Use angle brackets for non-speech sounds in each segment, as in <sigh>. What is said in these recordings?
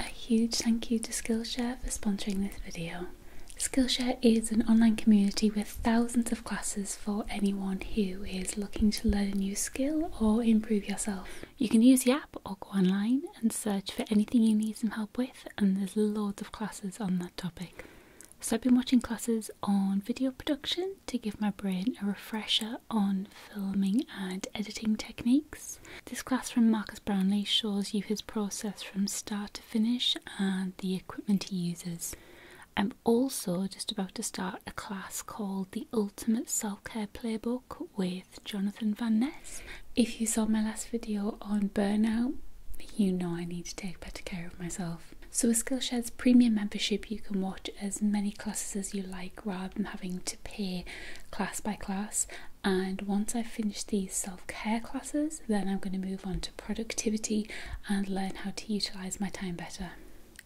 A huge thank you to Skillshare for sponsoring this video. Skillshare is an online community with thousands of classes for anyone who is looking to learn a new skill or improve yourself. You can use the app or go online and search for anything you need some help with and there's loads of classes on that topic. So I've been watching classes on video production to give my brain a refresher on filming and editing techniques this class from Marcus Brownlee shows you his process from start to finish and the equipment he uses. I'm also just about to start a class called the Ultimate Self Care Playbook with Jonathan Van Ness. If you saw my last video on burnout, you know I need to take better care of myself. So, with Skillshare's premium membership, you can watch as many classes as you like rather than having to pay class by class. And once I finish these self care classes, then I'm going to move on to productivity and learn how to utilize my time better.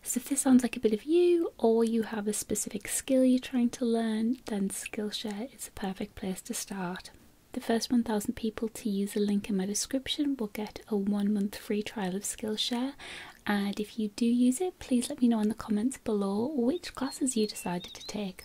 So, if this sounds like a bit of you, or you have a specific skill you're trying to learn, then Skillshare is the perfect place to start. The first 1000 people to use the link in my description will get a one month free trial of Skillshare. And if you do use it, please let me know in the comments below which classes you decided to take.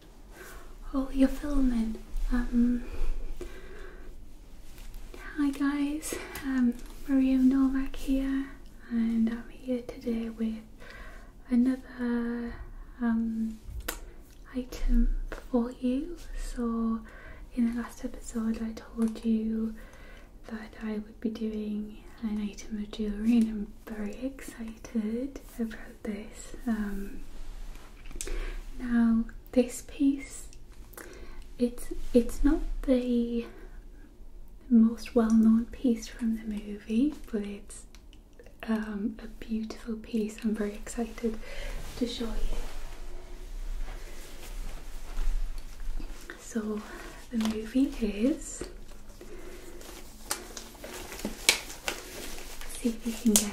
Oh, you're filming. Um, hi guys, um, Maria Novak here, and I'm here today with another um, item for you. So, in the last episode, I told you that I would be doing an item of jewellery, very excited about this. Um, now this piece, it's it's not the most well-known piece from the movie, but it's um, a beautiful piece. I'm very excited to show you. So the movie is See if you can guess.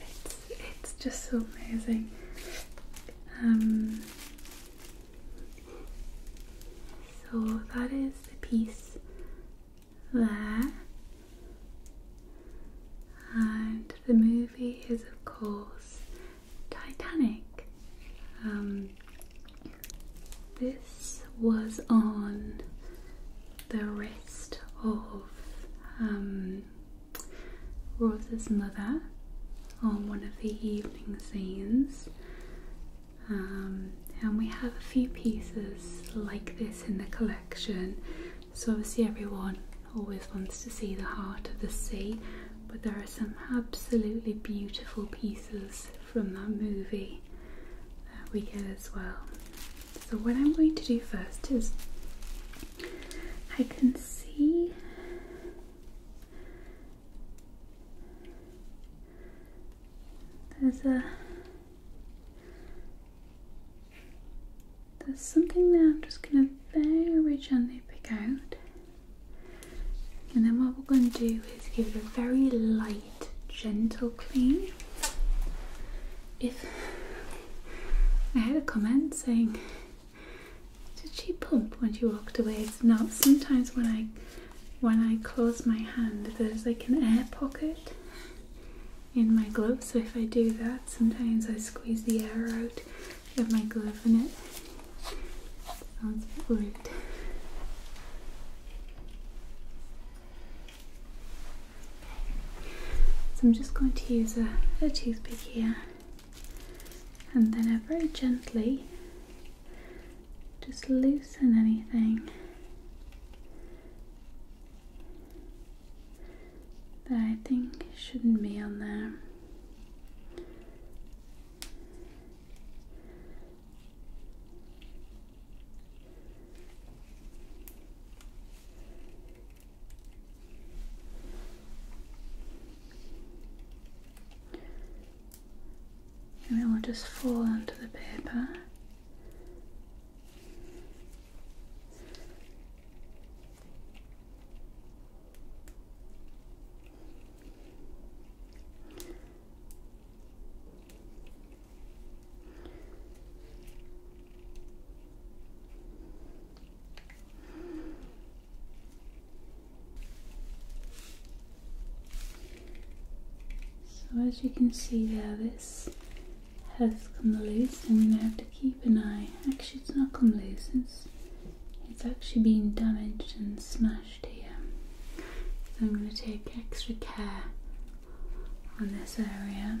It's it's just so amazing. Um, so that is the piece there, and the movie is of course Titanic. Um, this was on the rest of um, Rose's mother on one of the evening scenes. Um, and we have a few pieces like this in the collection. So obviously everyone always wants to see the heart of the sea, but there are some absolutely beautiful pieces from that movie that we get as well. So what I'm going to do first is I can see there's a there's something there I'm just gonna very gently pick out and then what we're going to do is give it a very light gentle clean if I had a comment saying, "Did she pump when she walked away?" It's not. Sometimes when I when I close my hand, there's like an air pocket in my glove. So if I do that, sometimes I squeeze the air out of my glove, and it sounds a so I'm just going to use a, toothpick here and then I very gently just loosen anything that I think shouldn't be on there. And it will just fall under the paper. So as you can see there, this has come loose and we have to keep an eye. Actually it's not come loose, it's, it's actually been damaged and smashed here. So I'm going to take extra care on this area.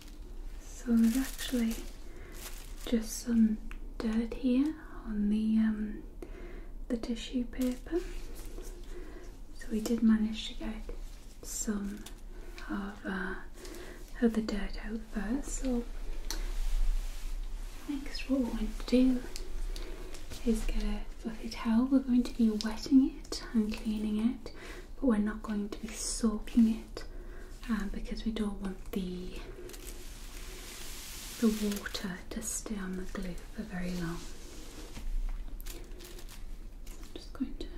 So there's actually just some dirt here on the um, the tissue paper. So we did manage to get some uh, of, the dirt out first. So next what we're going to do is get a fluffy towel. We're going to be wetting it and cleaning it but we're not going to be soaking it um, because we don't want the the water to stay on the glue for very long. I'm just going to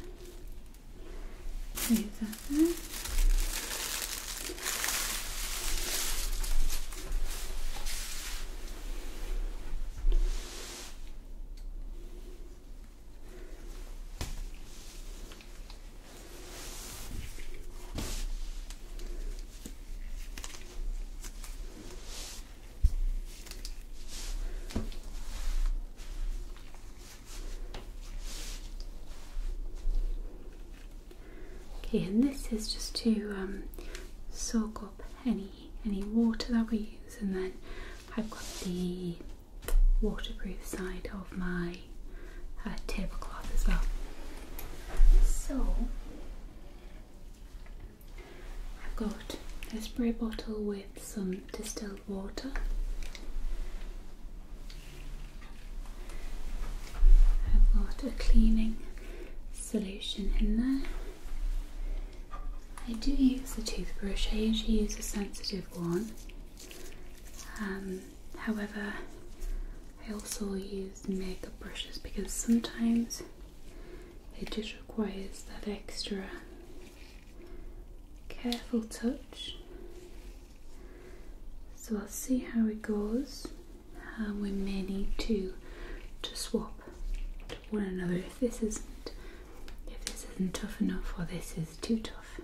leave that there. Okay, and this is just to um, soak up any any water that we use, and then I've got the waterproof side of my uh, tablecloth as well. So I've got a spray bottle with some distilled water. I've got a cleaning solution in there. I do use the toothbrush, I usually use a sensitive one. Um, however, I also use makeup brushes because sometimes it just requires that extra careful touch. So I'll see how it goes. Uh, we may need to to swap to one another if this isn't if this isn't tough enough or this is too tough.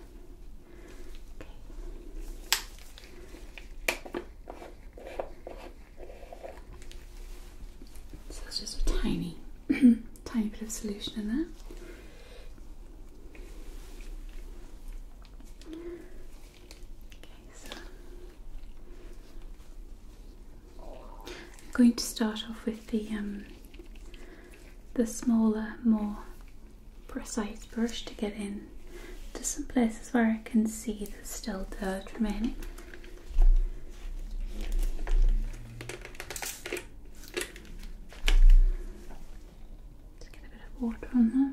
So it's just a tiny, <clears throat> tiny bit of solution in there. Okay, so I'm going to start off with the um, the smaller, more precise brush to get in to some places where I can see there's still dirt remaining. Just get a bit of water on there.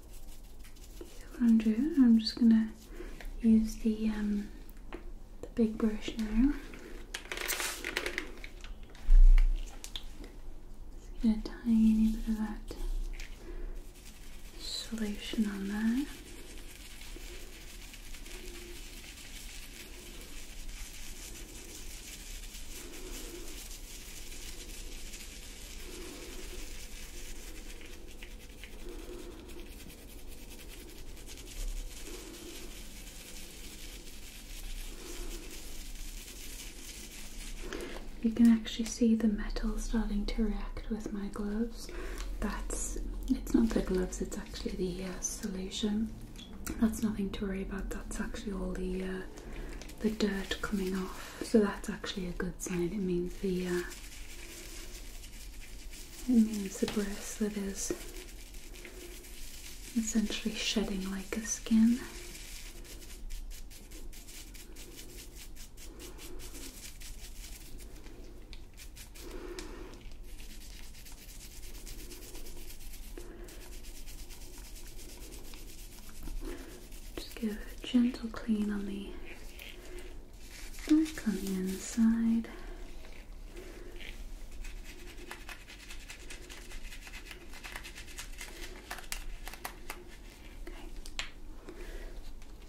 I'm just gonna use the um, the big brush now. Just get a tiny bit of that solution on there. You can actually see the metal starting to react with my gloves. That's it's not the gloves, it's actually the uh, solution. That's nothing to worry about, that's actually all the uh, the dirt coming off. So that's actually a good sign. It means the uh, it means the bracelet is essentially shedding like a skin. Just give a gentle clean on the back on the inside.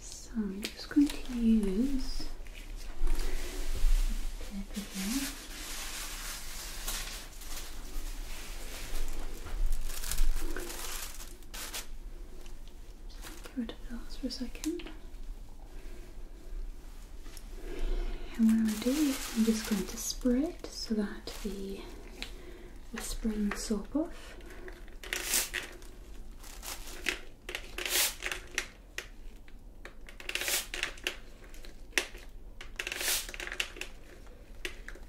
So I'm just going to use Get rid of those for a second. And what I'm do is I'm just going to spray it so that the whispering soap off.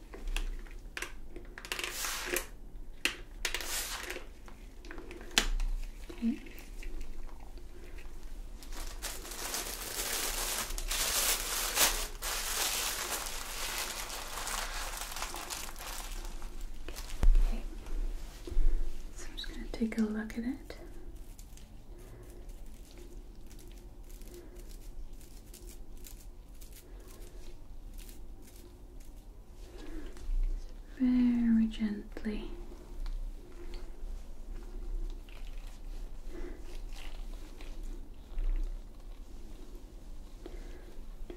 Okay. So I'm just going to take a look at it very gently.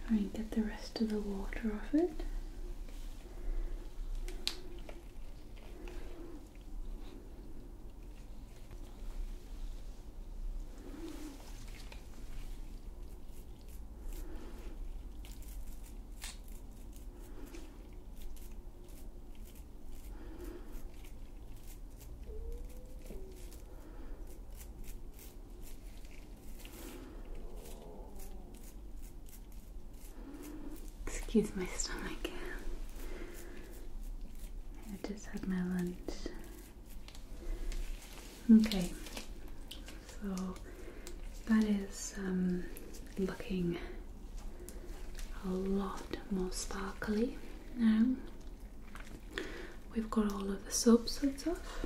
Try and get the rest of the water off it. Excuse my stomach. I just had my lunch Okay, so that is um, looking a lot more sparkly now. We've got all of the soapsuds off.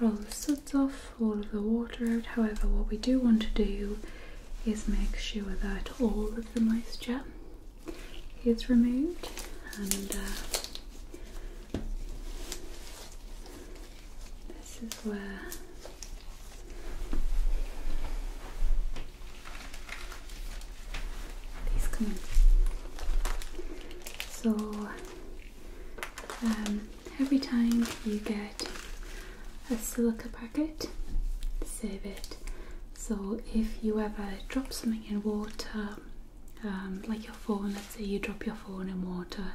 got all the suds off, all of the water out. However, what we do want to do is make sure that all of the moisture is removed and uh, this is where these come in. So um, every time you get a silica bracket save it so if you ever drop something in water um, like your phone let's say you drop your phone in water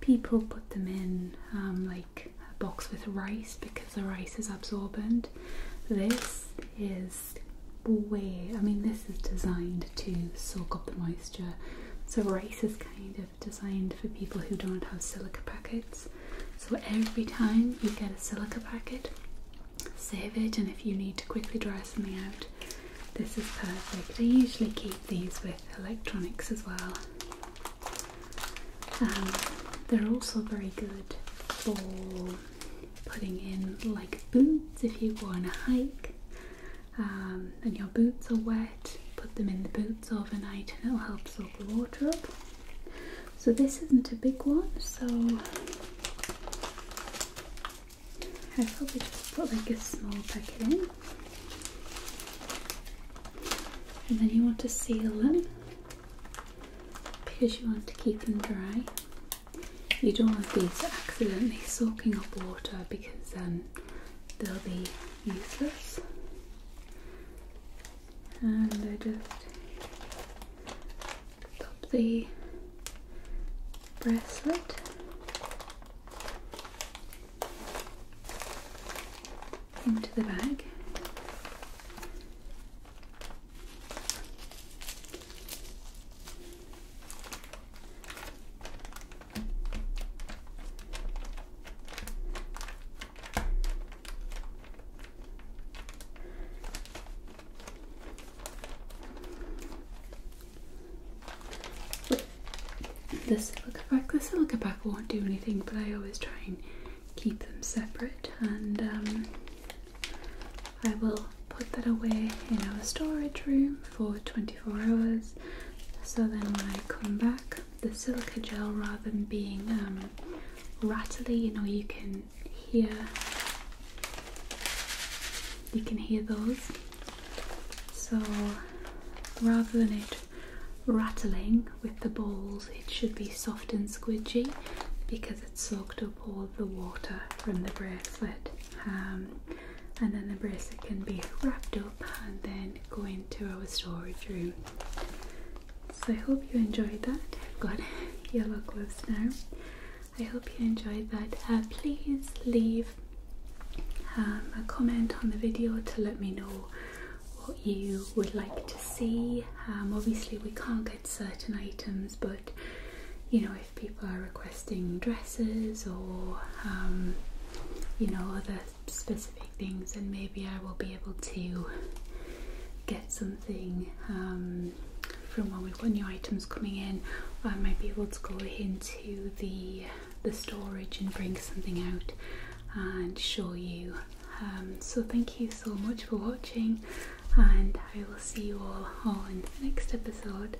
people put them in um, like a box with rice because the rice is absorbent this is way I mean this is designed to soak up the moisture so rice is kind of designed for people who don't have silica packets so every time you get a silica packet, save it, and if you need to quickly dry something out, this is perfect. I usually keep these with electronics as well. Um, they're also very good for putting in like boots if you go on a hike um, and your boots are wet. Put them in the boots overnight and it'll help soak the water up. So this isn't a big one, so I probably just put like a small packet in. And then you want to seal them because you want to keep them dry. You don't want these accidentally soaking up water because then um, they'll be useless and I just pop the bracelet into the bag the silica pack, the silica pack won't do anything, but I always try and keep them separate, and um, I will put that away in our storage room for 24 hours. So then when I come back, the silica gel rather than being um, rattly you know you can hear you can hear those so rather than it rattling with the balls it should be soft and squidgy because it's soaked up all the water from the bracelet um, and then the bracelet can be wrapped up and then go into our storage room so I hope you enjoyed that. I've got <laughs> yellow gloves now. I hope you enjoyed that. Uh, please leave um, a comment on the video to let me know what you would like to see. Um, obviously we can't get certain items but you know if people are requesting dresses or um, you know other specific things, and maybe I will be able to get something um, from when we've got new items coming in. I might be able to go into the the storage and bring something out and show you. Um, so thank you so much for watching, and I will see you all on the next episode.